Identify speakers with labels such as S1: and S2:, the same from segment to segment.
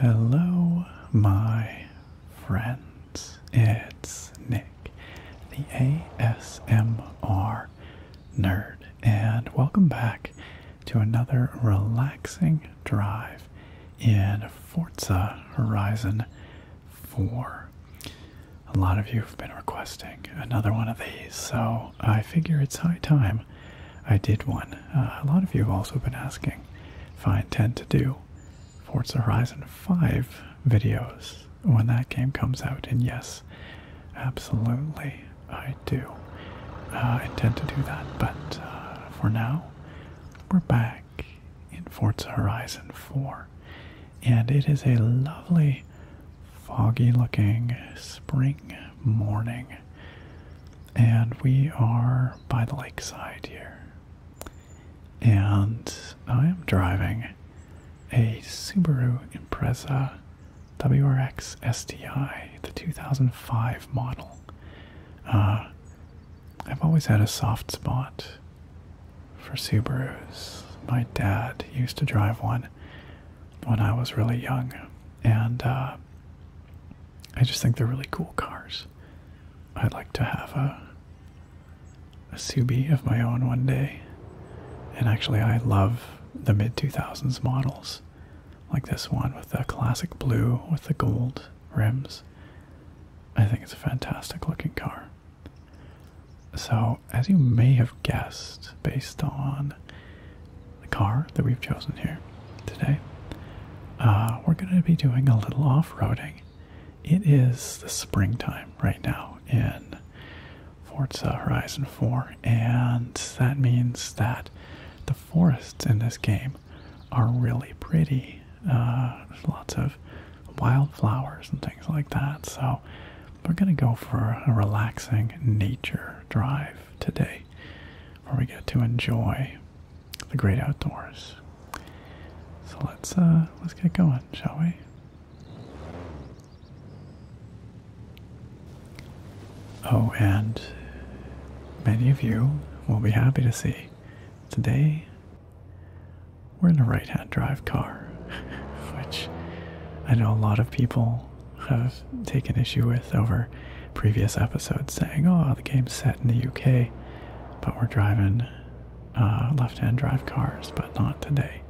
S1: Hello, my friends. It's Nick, the ASMR nerd, and welcome back to another relaxing drive in Forza Horizon 4. A lot of you have been requesting another one of these, so I figure it's high time I did one. Uh, a lot of you have also been asking if I intend to do Forza Horizon 5 videos when that game comes out, and yes, absolutely. I do uh, intend to do that, but uh, for now, we're back in Forza Horizon 4, and it is a lovely, foggy looking spring morning, and we are by the lakeside here. And I am driving a Subaru Impreza WRX STI, the 2005 model. Uh, I've always had a soft spot for Subarus. My dad used to drive one when I was really young, and uh, I just think they're really cool cars. I'd like to have a a Subi of my own one day. And actually, I love the mid 2000s models like this one with the classic blue with the gold rims. I think it's a fantastic looking car. So, as you may have guessed, based on the car that we've chosen here today, uh, we're going to be doing a little off roading. It is the springtime right now in Forza Horizon 4, and that means that. The forests in this game are really pretty. there's uh, lots of wildflowers and things like that. So we're going to go for a relaxing nature drive today where we get to enjoy the great outdoors. So let's uh, let's get going, shall we? Oh, and many of you will be happy to see today we're in a right hand drive car, which I know a lot of people have taken issue with over previous episodes saying, oh, the game's set in the UK, but we're driving uh, left hand drive cars, but not today.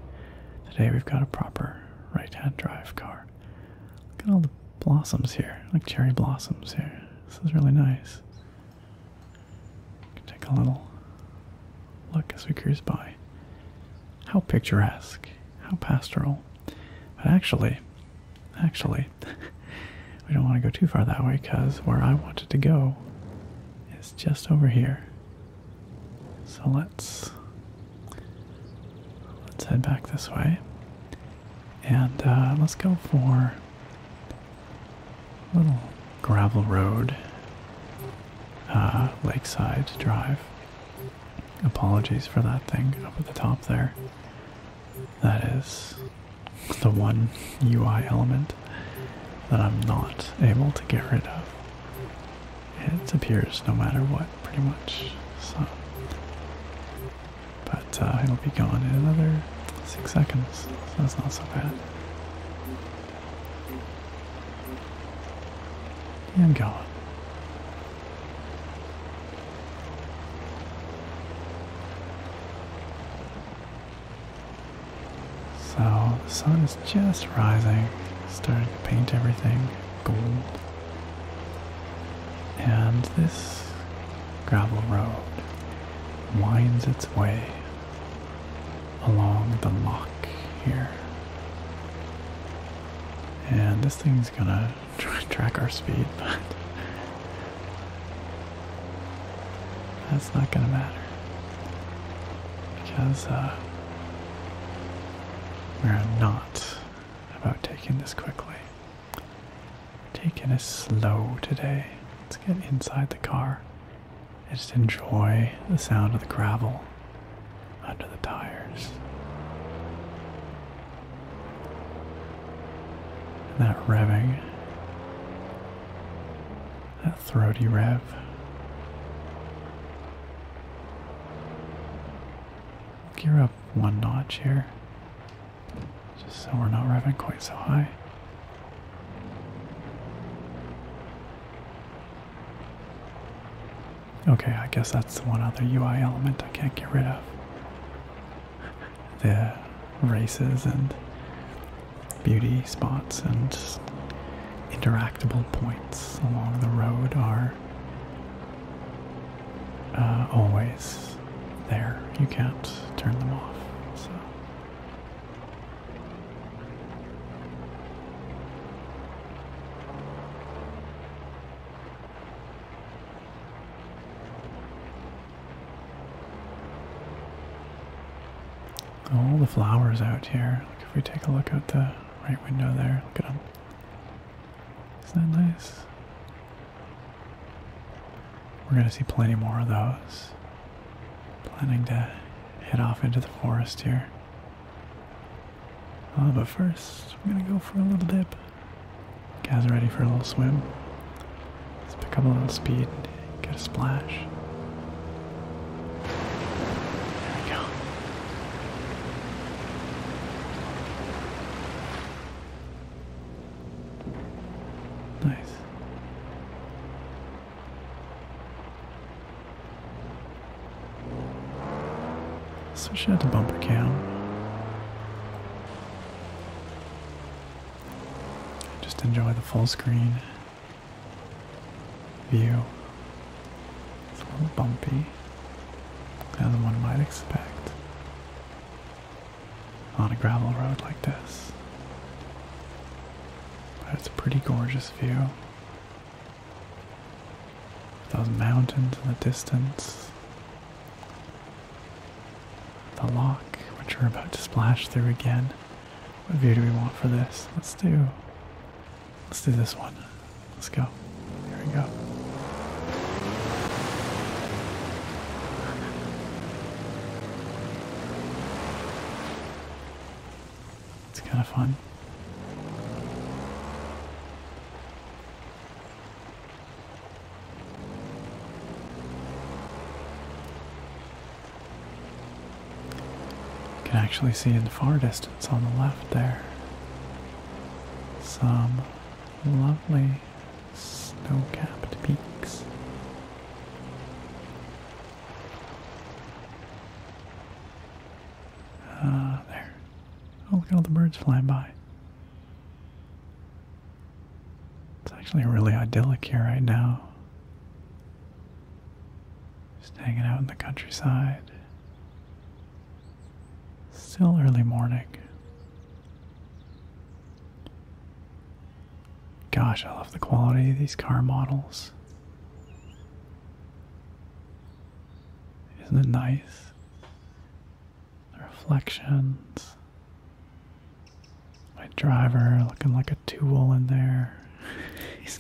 S1: Today we've got a proper right hand drive car. Look at all the blossoms here, like cherry blossoms here. This is really nice. Can take a little look as we cruise by. How picturesque, how pastoral. But actually, actually, we don't want to go too far that way because where I wanted to go is just over here. So let's Let's head back this way. And uh, let's go for a little gravel road, uh, Lakeside Drive. Apologies for that thing up at the top there. That is the one UI element that I'm not able to get rid of. It appears no matter what pretty much. So, but uh, it'll be gone in another six seconds, so that's not so bad. And gone. So the sun is just rising, starting to paint everything gold. And this gravel road winds its way along the lock here. And this thing's gonna track our speed, but that's not gonna matter because uh, we're not about taking this quickly. Taking it slow today. Let's get inside the car and just enjoy the sound of the gravel under the tires. And that revving, that throaty rev. Gear up one notch here. Just so we're not revving quite so high. Okay, I guess that's the one other UI element I can't get rid of. the races and beauty spots and interactable points along the road are uh, always there. You can't turn them off. All the flowers out here. if we take a look at the right window there, look at them. Isn't that nice? We're going to see plenty more of those. Planning to head off into the forest here. Uh, but 1st we are going to go for a little dip. Guys ready for a little swim? Let's pick up a little speed get a splash. There we go. Nice. Switch out to bumper cam. Just enjoy the full screen view. It's a little bumpy, as one might expect on a gravel road like this. But it's a pretty gorgeous view. Those mountains in the distance. The lock, which we're about to splash through again. What view do we want for this? Let's do Let's do this one. Let's go. Here we go. It's kind of fun. You can actually see in the far distance on the left there some lovely snow-capped peaks. Ah, there. Oh, look at all the birds flying by. It's actually really idyllic here right now. Just hanging out in the countryside. Still early morning. Gosh, I love the quality of these car models. Isn't it nice? The reflections. My driver looking like a tool in there. He's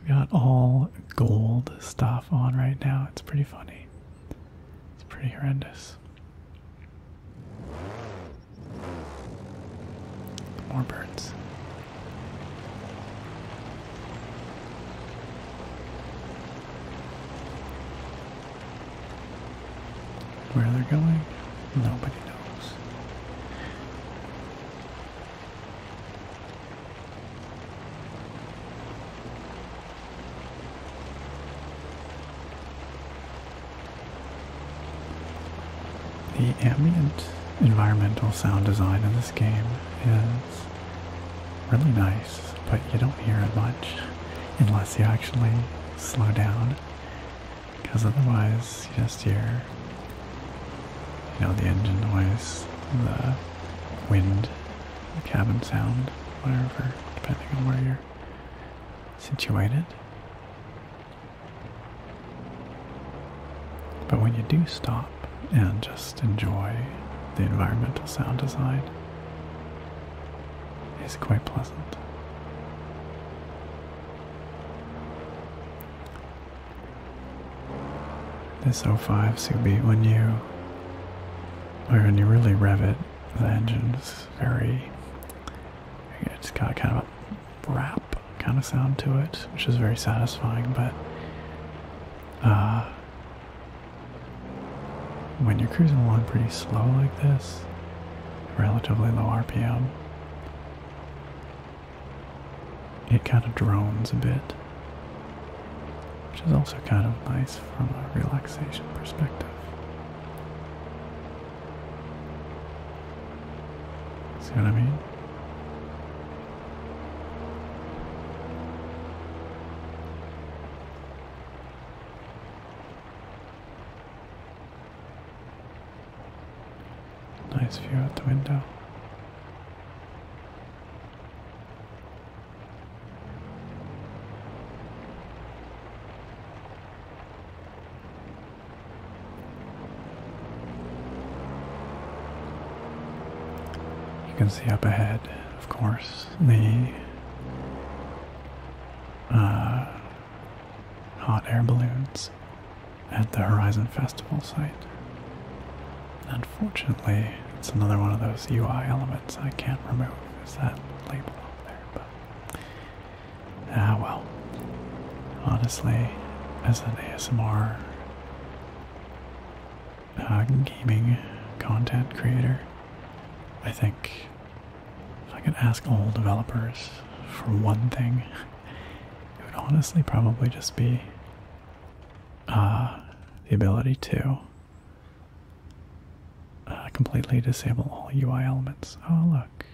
S1: We've got all gold stuff on right now. It's pretty funny. It's pretty horrendous. More birds. Where they're going, nobody knows. The ambient environmental sound design in this game is really nice, but you don't hear it much unless you actually slow down, because otherwise you just hear you know, the engine noise, the wind, the cabin sound, whatever, depending on where you're situated. But when you do stop and just enjoy the environmental sound design, it's quite pleasant. This 05 Subi, when you when you really rev it, the engine is very it's got kind of a rap kind of sound to it, which is very satisfying, but uh, when you're cruising along pretty slow like this, relatively low RPM, it kind of drones a bit, which is also kind of nice from a relaxation perspective. See what I mean? Nice view out the window. You can see up ahead, of course, the uh, hot air balloons at the Horizon Festival site. Unfortunately, it's another one of those UI elements I can't remove. Is that label up there? But ah well. Honestly, as an ASMR uh, gaming content creator, I think if I could ask all developers for one thing, it would honestly probably just be uh, the ability to uh, completely disable all UI elements. Oh, look,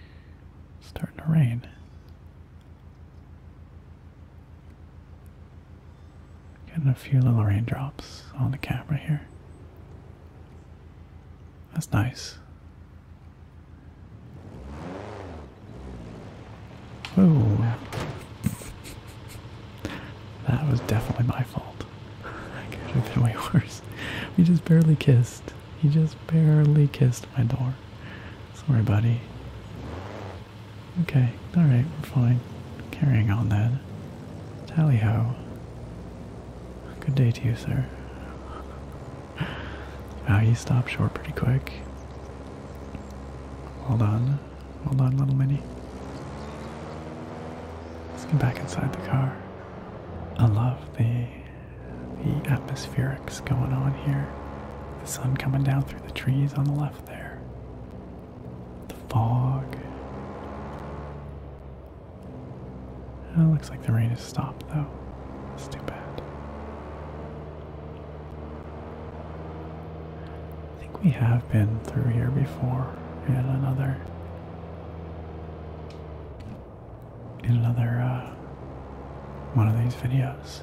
S1: starting to rain. Getting a few little raindrops on the camera here. That's nice. Whoa. That was definitely my fault. I could have been way worse. We just barely kissed. He just barely kissed my door. Sorry, buddy. Okay, alright, we're fine. Carrying on then. Tally ho. Good day to you, sir. Wow, he stopped short pretty quick. Hold on. Hold on, little Minnie. Let's get back inside the car. I love the the atmospherics going on here. The sun coming down through the trees on the left there. The fog. Oh, looks like the rain has stopped though. That's too bad. I think we have been through here before in another in another uh, one of these videos.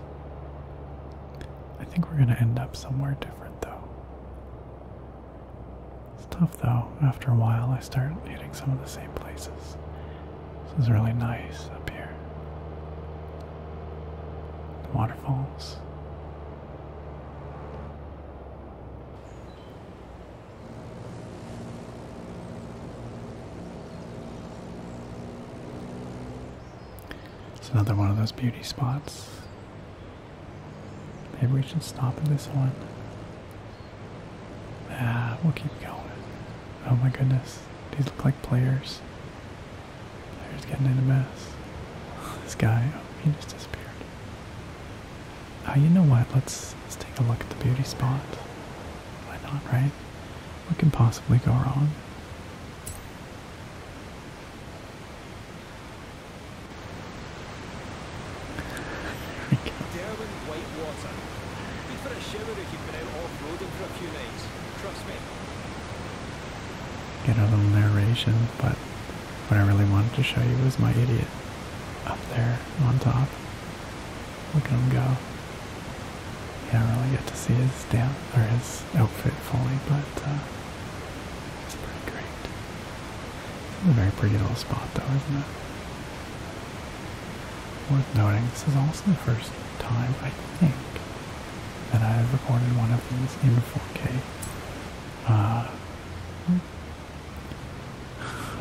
S1: I think we're gonna end up somewhere different though. It's tough though. After a while, I start hitting some of the same places. This is really nice up here. The waterfalls. It's another one of those beauty spots. Maybe we should stop at this one. Ah, we'll keep going. Oh my goodness. These look like players. Players getting in a mess. This guy, oh, he just disappeared. Uh, you know what? Let's let's take a look at the beauty spot. Why not, right? What can possibly go wrong? Darren Whitewater. Good Get a little narration, but what I really wanted to show you was my idiot up there on top. Look at him go. You don't really get to see his down or his outfit fully, but uh, it's pretty great. It's a very pretty little spot, though, isn't it? Worth noting, this is also the first time I think and I've recorded one of these in 4K. Uh,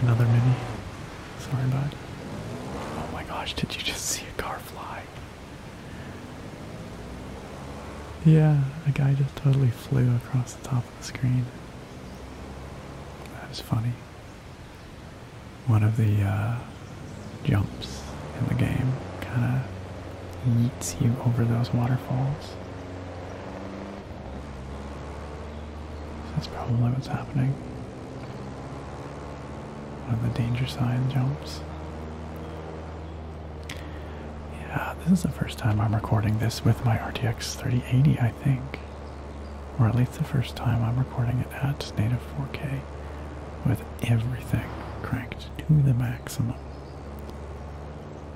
S1: another mini. Sorry, bud. Oh my gosh, did you just see a car fly? Yeah, a guy just totally flew across the top of the screen. That was funny one of the uh, jumps in the game kind of eats you over those waterfalls. that's probably what's happening. One of the danger sign jumps. Yeah, this is the first time I'm recording this with my RTX 3080, I think. Or at least the first time I'm recording it at native 4K with everything cranked to the maximum.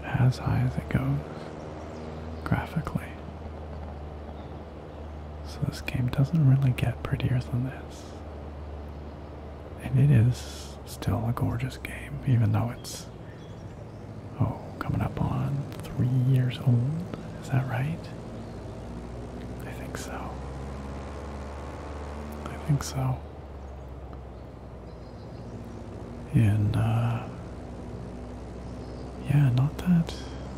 S1: As high as it goes graphically. So this game doesn't really get prettier than this. And it is still a gorgeous game, even though it's oh, coming up on three years old. Is that right? I think so. I think so. And, uh, yeah, not that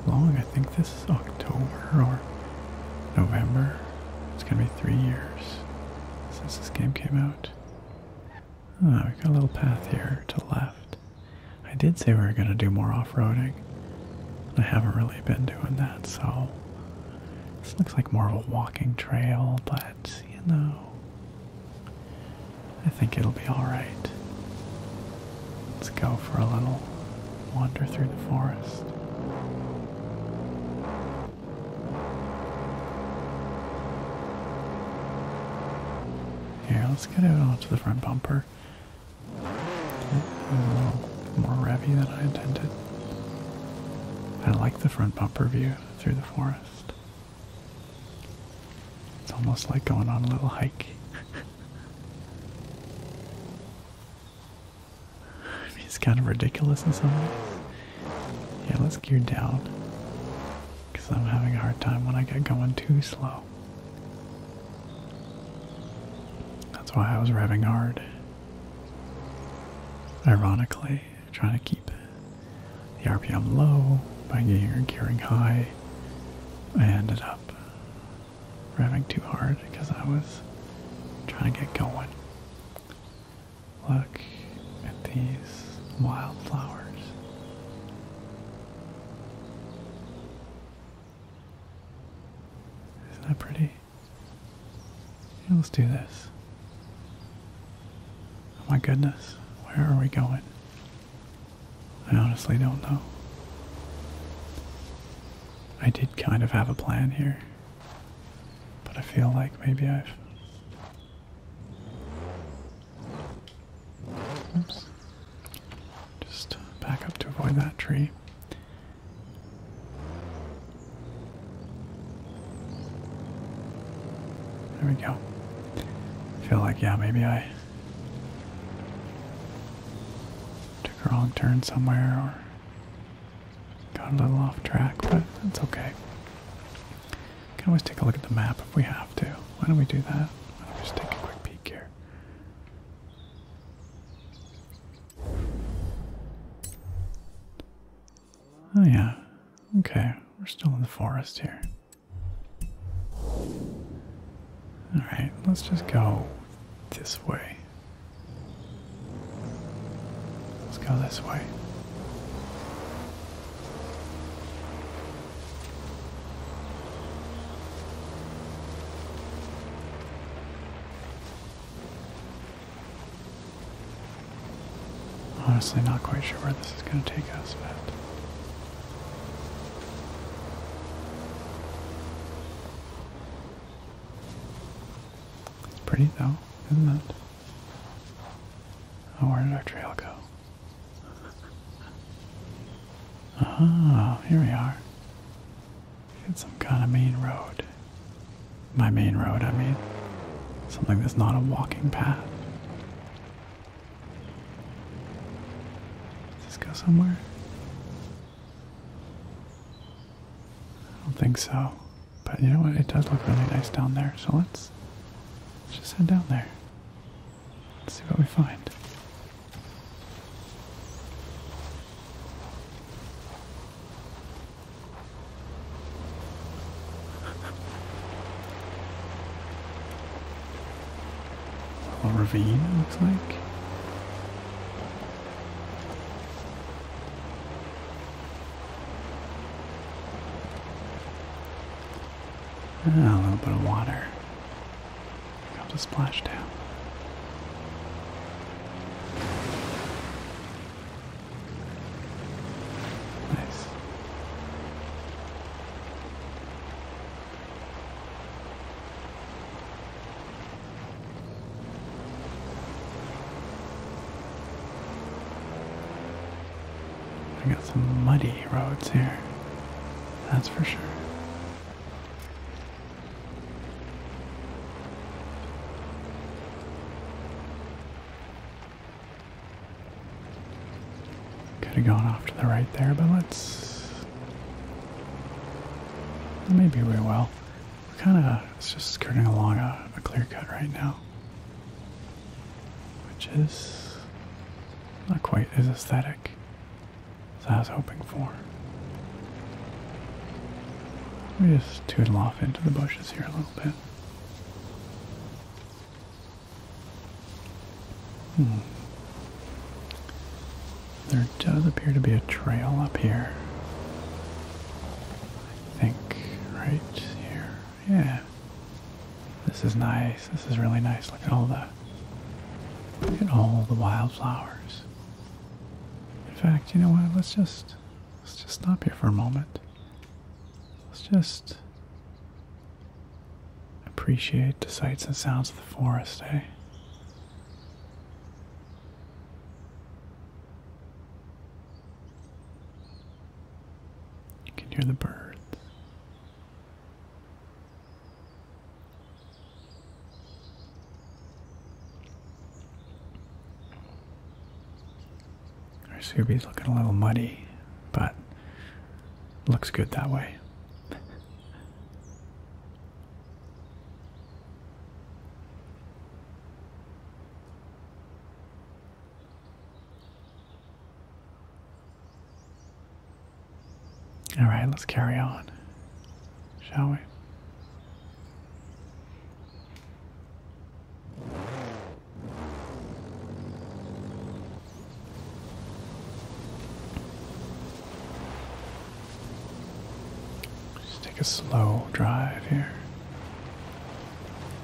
S1: long. I think this is October or November. It's gonna be three years since this game came out. Oh, ah, we got a little path here to the left. I did say we were gonna do more off-roading. I haven't really been doing that, so this looks like more of a walking trail, but you know, I think it'll be alright. Let's go for a little wander through the forest. Here, let's get it onto the front bumper. More revy than I intended. I like the front bumper view through the forest. It's almost like going on a little hike. it's kind of ridiculous in some ways. Yeah, let's gear down. Because I'm having a hard time when I get going too slow. That's why I was revving hard. Ironically, trying to keep the RPM low by getting your gearing high, I ended up revving too hard because I was trying to get going. Look at these wildflowers. Isn't that pretty? let's do this. Oh my goodness, where are we going? I honestly don't know. I did kind of have a plan here, but I feel like maybe I've. Oops. Just back up to avoid that tree. There we go. feel like, yeah, maybe I took a wrong turn somewhere or got a little off track, but that's okay. We can always take a look at the map if we have to. Why don't we do that? Why don't we just take a quick peek here? Oh yeah. Okay, we're still in the forest here. Alright, let's just go this way. Let's go this way. Honestly, not quite sure where this is going to take us, but. It's pretty though, isn't it? Oh, where did our trail go? Ah, here we are. It's some kind of main road. My main road, I mean. Something that's not a walking path. Does this go somewhere? I don't think so. But you know what? It does look really nice down there. So let's, let's just head down there. see what we find. A ravine, it looks like. Ah, a little bit of water. Got a splashdown. Nice. I got some muddy roads here. That's for sure. Could have gone off to the right there, but let's. Maybe we will. We're kind of. It's just skirting along a, a clear cut right now. Which is. Not quite as aesthetic as I was hoping for. We just tootle off into the bushes here a little bit. Hmm. There does appear to be a trail up here. I think right here. Yeah. This is nice. This is really nice. Look at all the look at all the wildflowers. In fact, you know what? Let's just let's just stop here for a moment. Let's just appreciate the sights and sounds of the forest, eh? You can hear the birds. Our Subi's looking a little muddy, but looks good that way. All right, let's carry on, shall we? Just take a slow drive here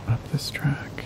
S1: up this track.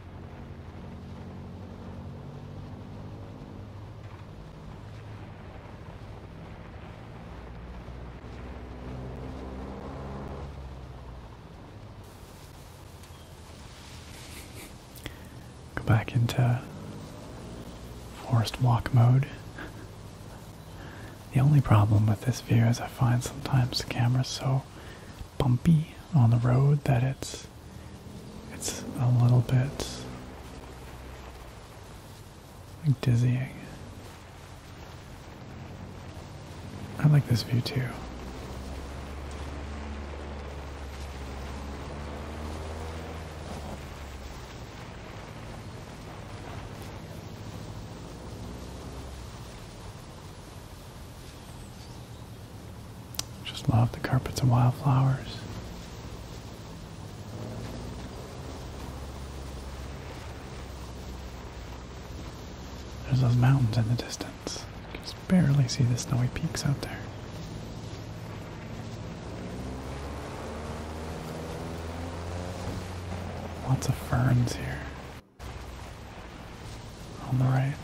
S1: Go back into forest walk mode. the only problem with this view is I find sometimes the camera's so bumpy on the road that it's it's a little bit dizzying. I like this view too. Just love the carpets of wildflowers. There's those mountains in the distance. You can barely see the snowy peaks out there. Lots of ferns here on the right.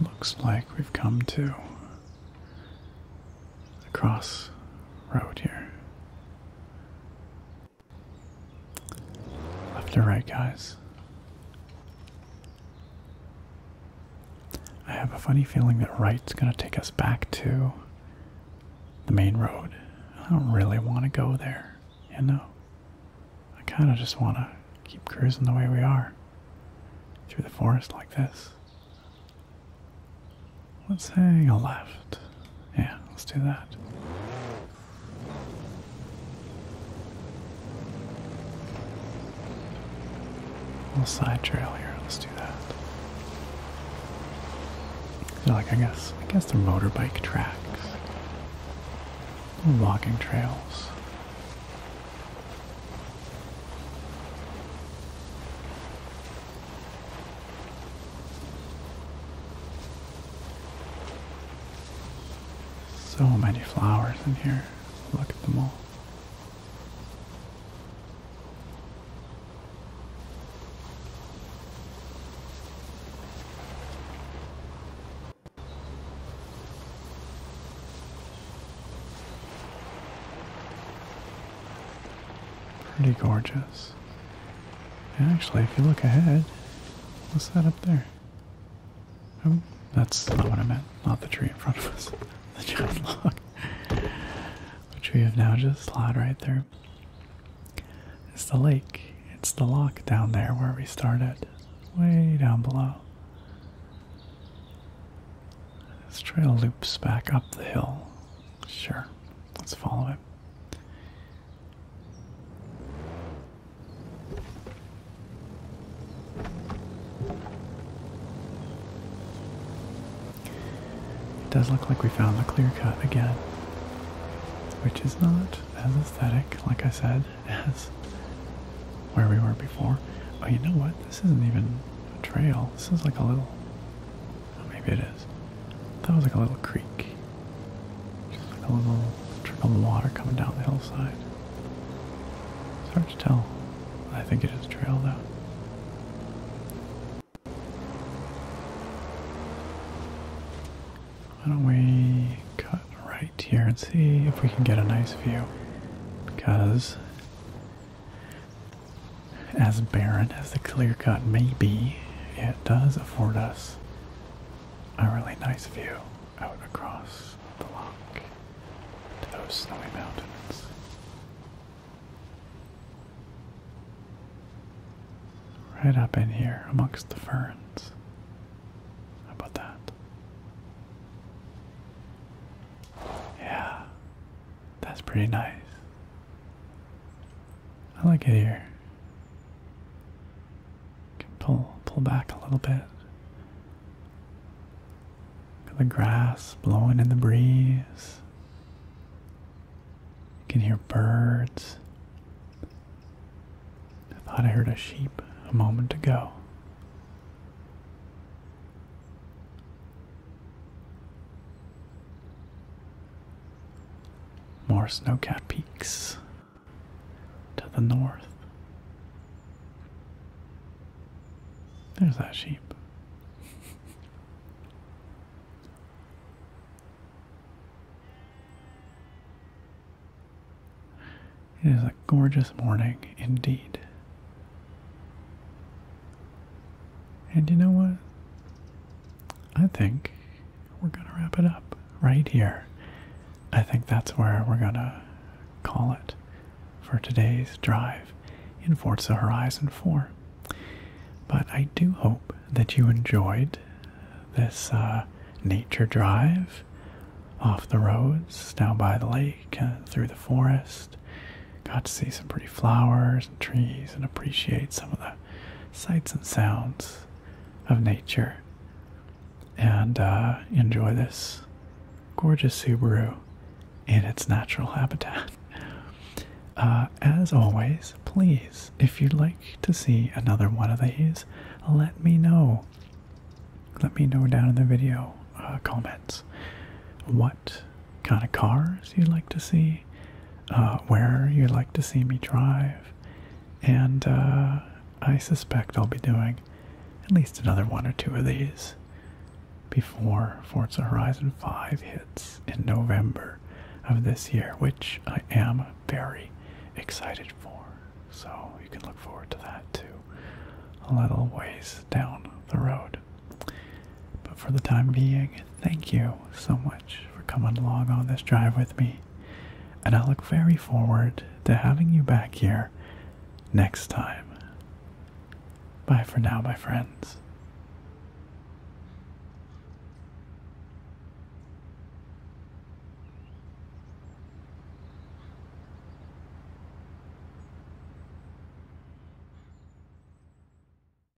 S1: Looks like we've come to the crossroad here. Left or right, guys? I have a funny feeling that right's gonna take us back to the main road. I don't really want to go there, you know? I kind of just want to keep cruising the way we are through the forest like this. Let's hang a left. Yeah, let's do that. Little side trail here. Let's do that. So like I guess, I guess they're motorbike tracks, walking trails. So many flowers in here. Look at them all. Pretty gorgeous. Actually, if you look ahead, what's that up there? Oh, that's not what I meant. Not the tree in front of us. The giant log. Which we have now just plowed right through. It's the lake. It's the lock down there where we started. Way down below. This trail loops back up the hill. Sure, let's follow it. It does look like we found the clear cut again, which is not as aesthetic, like I said, as where we were before. Oh, you know what? This isn't even a trail. This is like a little Oh, maybe it is. That was like a little creek. Just like a little trickle of water coming down the hillside. It's hard to tell. I think it is a trail though. Why don't we cut right here and see if we can get a nice view? Because as barren as the clear cut may be, it does afford us a really nice view out across the loch to those snowy mountains. Right up in here amongst the ferns. How about that? Yeah, that's pretty nice. I like it here. Can pull pull back a little bit. the grass blowing in the breeze. You can hear birds. I thought I heard a sheep a moment ago. More snow-capped peaks to the north. There's that sheep. it is a gorgeous morning indeed. And you know what? I think we're going to wrap it up right here. I think that's where we're going to call it for today's drive in Forza Horizon 4. But I do hope that you enjoyed this uh, nature drive off the roads, down by the lake, uh, through the forest. Got to see some pretty flowers and trees and appreciate some of the sights and sounds of nature and uh, enjoy this gorgeous Subaru in its natural habitat. Uh, as always, please, if you'd like to see another one of these, let me know. Let me know down in the video uh, comments what kind of cars you'd like to see, uh, where you'd like to see me drive, and uh, I suspect I'll be doing at least another one or two of these before Forza Horizon 5 hits in November of this year, which I am very excited for. So you can look forward to that too, a little ways down the road. But for the time being, thank you so much for coming along on this drive with me, and I look very forward to having you back here next time. Bye for now, my friends.